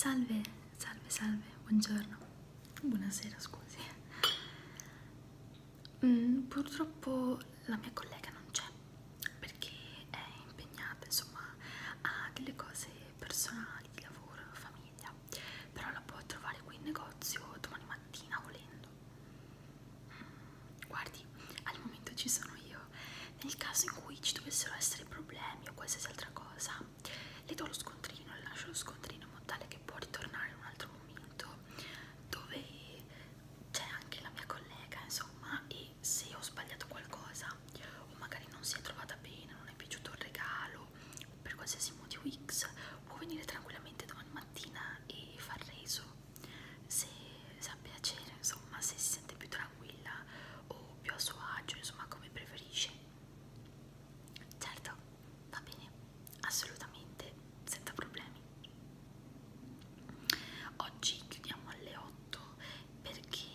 Salve, salve, salve, buongiorno, buonasera scusi. Mm, purtroppo la mia collega non c'è perché è impegnata insomma ha delle cose personali, di lavoro, famiglia, però la può trovare qui in negozio domani mattina volendo. Mm, guardi, al momento ci sono io nel caso in cui ci dovessero essere problemi o qualsiasi altra cosa le do lo scontrino, le lascio lo scontrino in modo tale che può ritornare in un altro momento dove c'è anche la mia collega insomma e se ho sbagliato qualcosa o magari non si è trovata bene, non è piaciuto il regalo per qualsiasi motivo X può venire tranquillamente domani mattina e far reso se, se ha piacere insomma se si sente più tranquilla tranquilla o più a suo agio, insomma come preferisce. Certo, va bene, assolutamente, senza problemi. Oggi chiudiamo alle 8 perché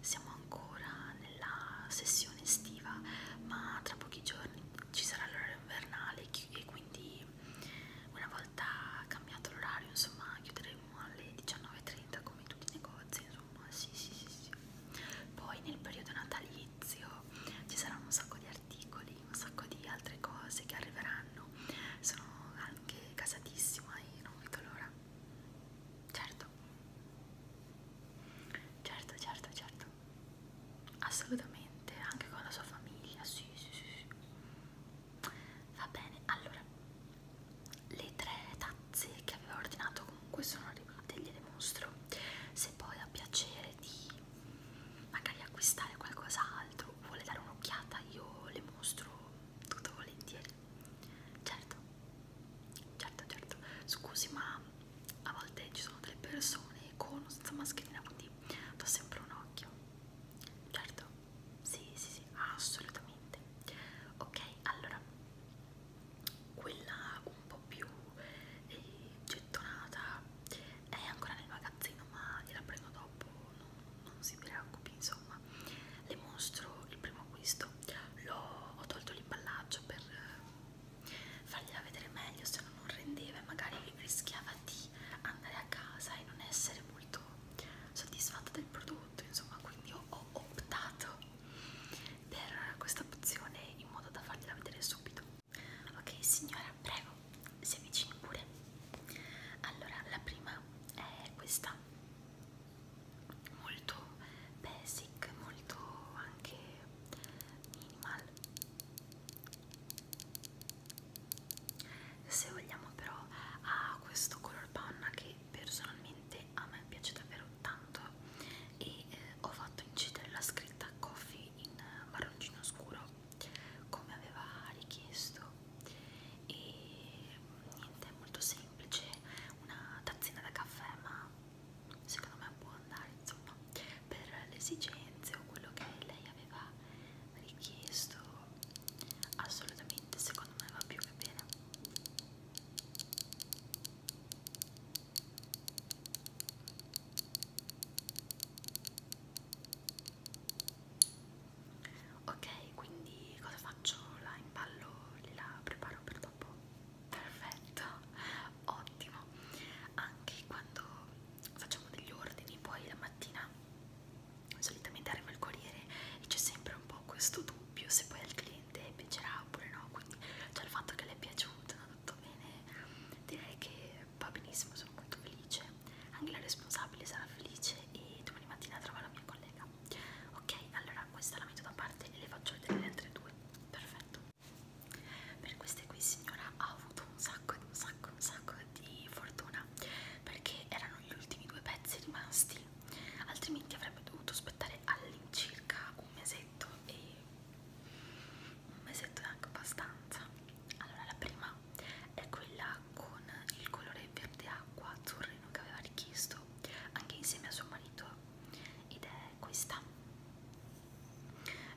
siamo ancora nella sessione estiva, ma tra pochi giorni ci sarà l'ora invernale e quindi una volta volta cambiato l'orario, insomma chiuderemo alle 19.30 come tutti i negozi, insomma sì sì sì sì. Poi nel periodo natalizio ci saranno un sacco di articoli, un sacco di altre cose che arriveranno, sono anche casatissima e non vedo l'ora. Certo, certo, certo, certo, assolutamente, anche con la sua famiglia, sì sì sì. sì. Va bene, allora le tre tazze che avevo ordinato comunque sono arrivate, gliele mostro. Se poi ha piacere di magari acquistare qualcos'altro, vuole dare un'occhiata, io le mostro tutto volentieri. Certo, certo, certo. Scusi, ma a volte ci sono delle persone con o senza mascherina, quindi do sempre un occhio. Certo, sì, sì, sì, assolutamente. Ok, allora quella un po' più eh, gettonata è ancora nel magazzino, ma gliela prendo dopo, non, non si preoccupi, insomma. Le mostro il primo acquisto, L ho, ho tolto l'imballaggio per eh, fargliela vedere meglio, se no non rendeva e magari rischiava di andare a casa e non essere molto soddisfatta del prodotto, insomma, quindi ho, ho optato per questa pozione in modo da fargliela vedere subito. Ok, signora, prego, si avvicini pure. Allora, la prima è questa, molto basic, molto anche minimal se vogliamo però ha questo color panna che personalmente a me piace davvero tanto e eh, ho fatto incidere la scritta coffee in marroncino scuro come aveva richiesto e niente è molto semplice una tazzina da caffè ma secondo me può andare insomma per le esigenze o quello che lei aveva richiesto assolutamente secondo me va più che bene ok quindi cosa faccio la impallo la preparo per dopo perfetto ottimo anche quando facciamo degli ordini poi la mattina solitamente arriva il corriere e c'è sempre un po' questo dubbio se poi al cliente piacerà oppure no, quindi già il fatto che le è piaciuto, no, tutto bene, direi che va benissimo, sono molto felice, anche la responsabile sarà felice e domani mattina trova la mia collega. Ok, allora questa la metto da parte e le faccio vedere le altre due, perfetto. Per queste qui signora ho avuto un sacco, un sacco, un sacco di fortuna perché erano gli ultimi due pezzi rimasti altrimenti avrebbe dovuto aspettare all'incirca un mesetto e un mesetto è anche abbastanza allora la prima è quella con il colore verde acqua azzurrino che aveva richiesto anche insieme a suo marito ed è questa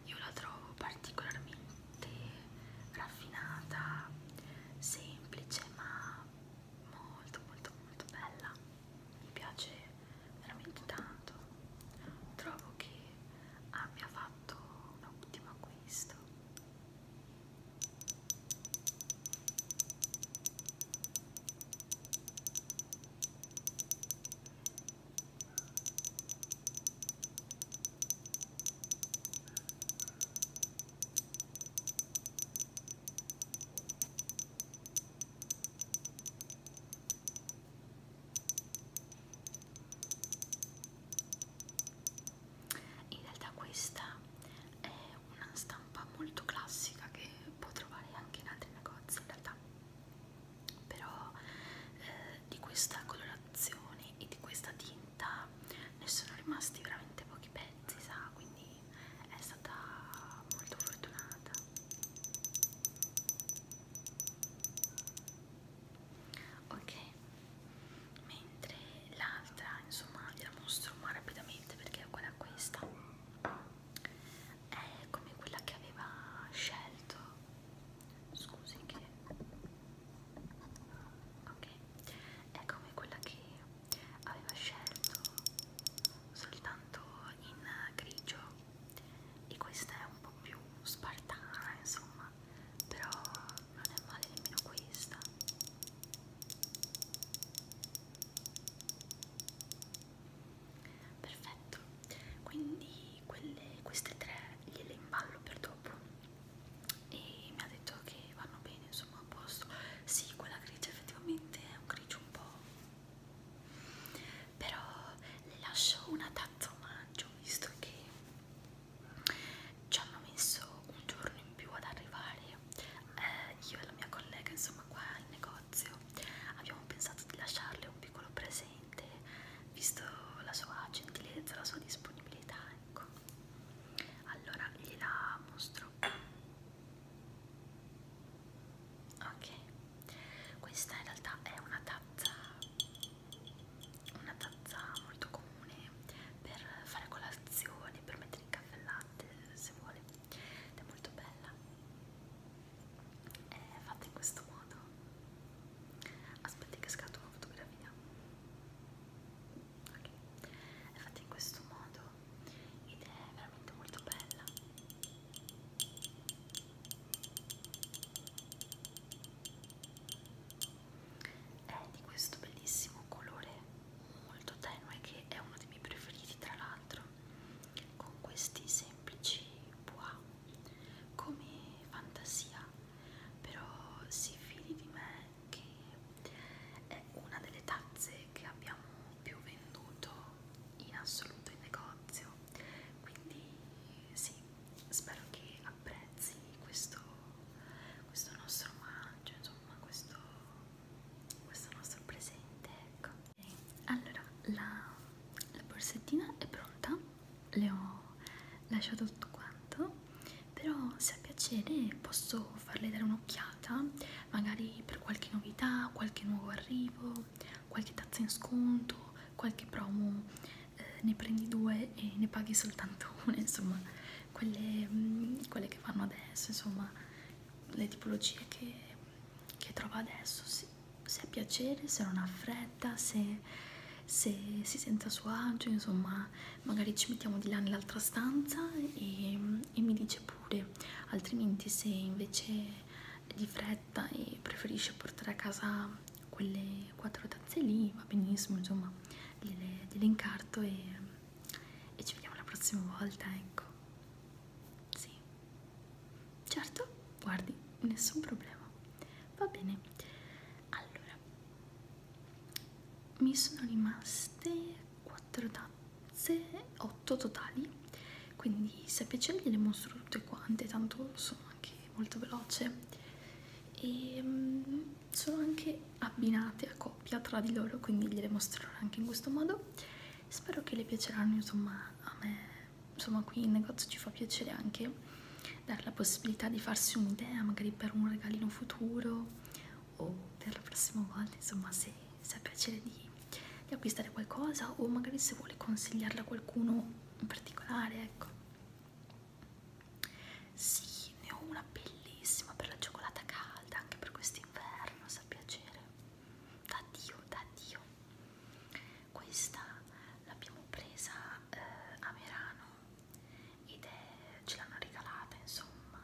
io la trovo particolarmente raffinata, semplice ma molto molto molto bella, mi piace veramente tanto, trovo che abbia fatto un ottimo acquisto. In realtà questa è una stampa molto classica che può trovare anche in altri negozi in realtà però eh, di questa colorazione colorazioni e di questa tinta ne sono rimasti veramente pochi pezzi sa quindi è stata molto fortunata ok mentre l'altra insomma gliela mostro ma rapidamente perché è uguale a questa è come quella che aveva scelto scusi che ok è come quella che aveva scelto soltanto in grigio e questa è un po' più spartana insomma però non è male nemmeno questa perfetto quindi quelle, queste tre gliele imballo per dopo e mi ha detto che vanno bene insomma a posto sì quella grigia effettivamente è un grigio un po' però le lascio una tazza omaggio visto che ci hanno messo un giorno in più ad arrivare eh, io e la mia collega insomma qua al negozio abbiamo pensato di lasciarle un piccolo presente veramente visto la sua gentilezza, la sua disponibilità, ecco. Allora gliela mostro. Ok. Questa in realtà è una tazza una tazza molto comune per fare colazione, per mettere in caffè latte, se vuole. Ed è molto bella è eh, fatta in questo modo aspetti che scatto una fotografia ok è fatta in questo modo ed è veramente molto bella è di questo bellissimo colore molto tenue che è uno dei miei preferiti tra l'altro con questi semplici bois come fantasia, però si fidi di me che è una delle tazze che abbiamo più venduto in assoluto in negozio, quindi sì, spero che apprezzi questo, questo nostro omaggio, insomma questo, questo nostro presente, ecco allora la, la borsettina è pronta le ho lasciato tutto quanto però se a piacere posso farle dare un'occhiata magari per qualche novità qualche nuovo arrivo qualche tazza in sconto qualche promo eh, ne prendi due e ne paghi soltanto una insomma quelle, mh, mm, quelle che fanno adesso insomma le tipologie che che trova adesso, se, se ha piacere, se non ha fretta, se, se si sente a suo agio, insomma magari ci mettiamo di là nell'altra stanza e, e mi dice pure, altrimenti se invece di fretta e preferisce portare a casa quelle quattro tazze lì va benissimo insomma gliele, gliele incarto e, e ci vediamo la prossima volta ecco sì, certo, guardi, nessun problema. Va bene, allora mi sono rimaste 4 tazze, 8 totali. Quindi, se piace, ve le mostro tutte quante, tanto sono anche molto veloce. E um, sono anche abbinate a coppia tra di loro, quindi gliele mostrerò anche in questo modo. Spero che le piaceranno, insomma, a me insomma qui in negozio ci fa piacere anche dare la possibilità di farsi un'idea magari per un regalino futuro o per la prossima volta insomma se, se ha piacere di, di acquistare qualcosa o magari se vuole consigliarla a qualcuno in particolare ecco sì ne ho una bellissima per la cioccolata calda anche per quest'inverno sa piacere da Dio, da Dio. Questa l'abbiamo presa eh, a Merano ed è, ce l'hanno regalata insomma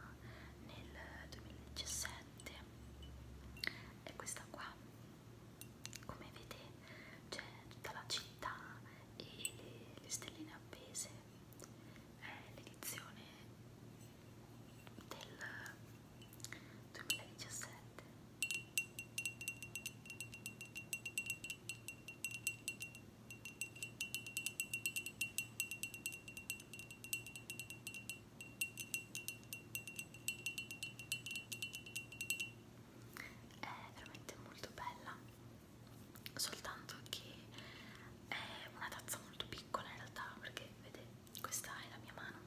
nel 2017. È questa qua. Come vedete c'è tutta la città e le, le stelline appese. È l'edizione del 2017 è veramente molto bella soltanto che è una tazza molto piccola in realtà perché vedete questa è la mia mano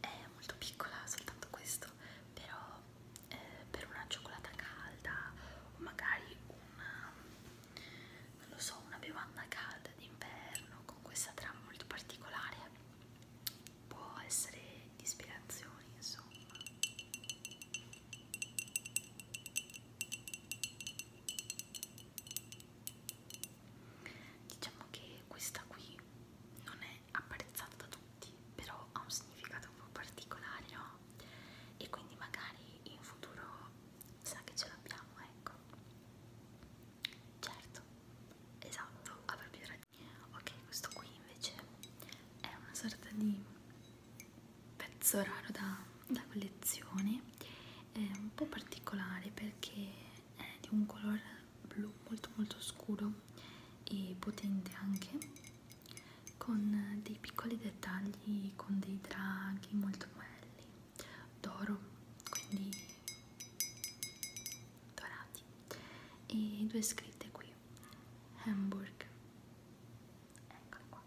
è molto piccola soltanto questo però eh, per una cioccolata calda o magari una non lo so una bevanda calda d'inverno con questa trama molto particolare può essere di ispirazione insomma Diciamo che questa qui non è apprezzata da tutti, però ha un significato un po' particolare, no? E quindi magari in futuro sa che ce l'abbiamo, ecco. Certo, esatto, avrà più ragione. Ok, questo qui invece è una sorta di pezzo raro da, da collezione, è un po' particolare perché è di un colore blu molto molto scuro e potente anche con dei piccoli dettagli con dei draghi molto belli d'oro quindi dorati e due scritte qui Hamburg eccole qua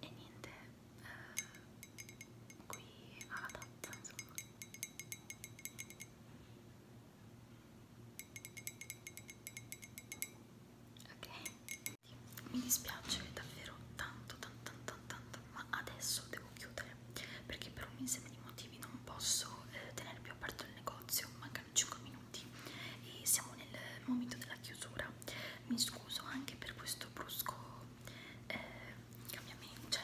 e niente eh, qui alla tazza insomma ok mi dispiace davvero tanto tanto tanto tanto ma adesso devo chiudere perché per un insieme di motivi non posso eh, tenere più aperto il negozio mancano 5 minuti e siamo nel momento della chiusura mi scuso anche per questo brusco eh, cambiamenti, cioè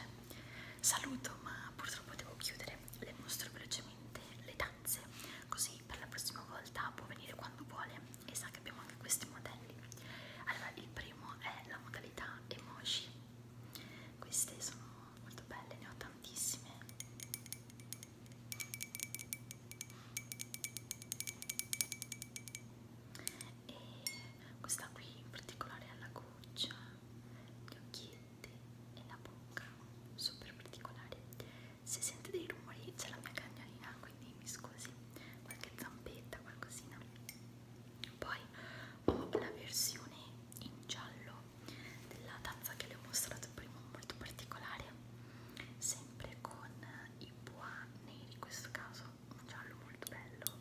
saluto ma purtroppo devo chiudere, le mostro velocemente le tazze così per la prossima volta può venire quando vuole e sa che abbiamo anche questi modelli. Allora il primo è la modalità emoji, queste sono molto belle, ne ho tantissime. E questa qui in particolare ha la goccia, gli occhietti e la bocca, super particolare. Se sente dei rumori c'è la mia cagnolina, quindi mi scusi, qualche zampetta, qualcosina. Poi ho la versione in giallo della tazza che le ho mostrato prima, molto particolare, sempre con i bois neri in questo caso rosso, un giallo molto bello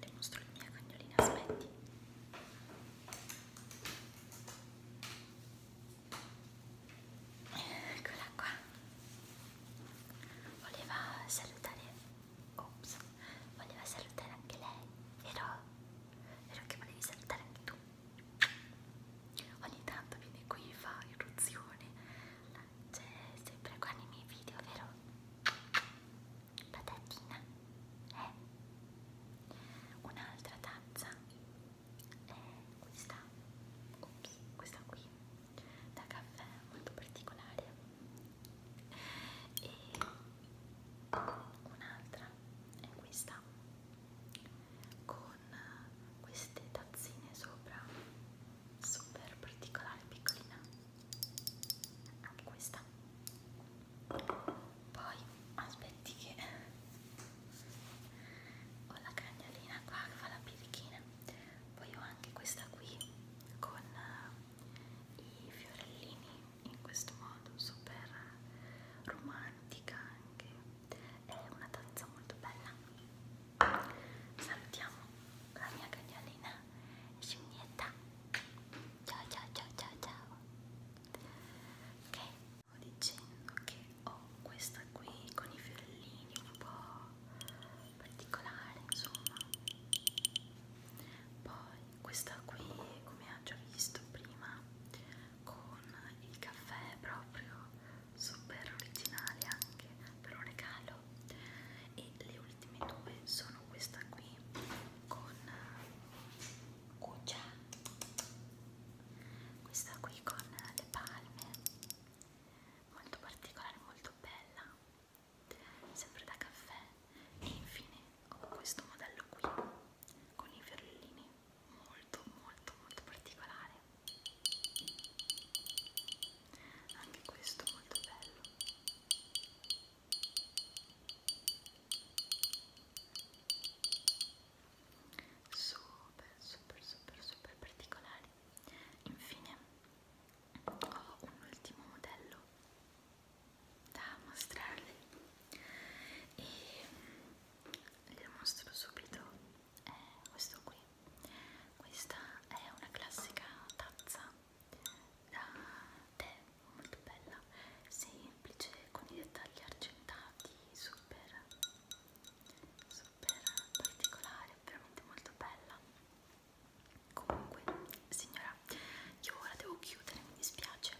le mostro la mia cagnolina, aspetti eccola qua voleva salutare ops voleva salutare anche lei vero? vero che volevi salutare anche tu ogni tanto viene qui fa irruzione c'è cioè, sempre qua nei miei video vero? patatina eh? un'altra tazza è eh, questa Ops, questa qui da caffè molto particolare e un'altra è questa con queste tazzine sopra super particolare piccolina anche questa poi aspetti che ho la cagnolina qua che fa la birichina poi ho anche questa qui con i fiorellini in questo modo super romantica anche è una tazza molto bella salutiamo la mia cagnolina scimmietta ciao ciao ciao ciao ciao ok stavo dicendo che ho questa qui con i fiorellini un po' particolare insomma poi questa qui come ha già visto prima con il caffè proprio super originale anche per un regalo e le ultime due sono questa qui con cuccia questa qui con le palme molto particolare molto bella sempre da caffè e infine ho questo modello qui con i ferrellini molto molto molto particolare anche questo molto bello super super super super particolari infine ho un ultimo modello da mostrarvi e mm, le mostro subito è eh, questo qui questa è una classica tazza da tè molto bella semplice con i dettagli argentati super super particolare veramente molto bella comunque signora io ora devo chiudere mi dispiace veloce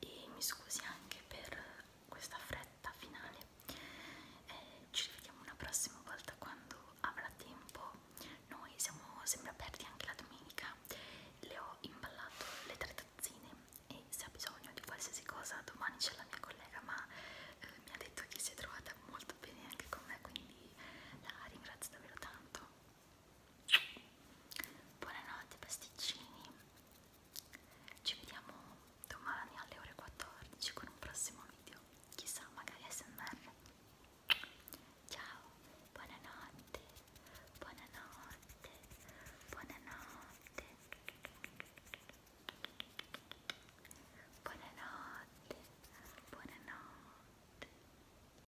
e mi scusi anche per questa fretta finale eh, ci rivediamo una prossima volta quando avrà tempo noi siamo sempre aperti anche la domenica le ho imballato le tre tazzine e se ha bisogno di qualsiasi cosa domani c'è la mia collega ma eh, mi ha detto che si è trovata molto bene anche con me quindi la ringrazio davvero tanto Buonanotte pasticcini, ci vediamo domani alle ore 14 con un prossimo video, chissà magari SMR. Ciao, buonanotte, buonanotte, buonanotte, buonanotte, buonanotte.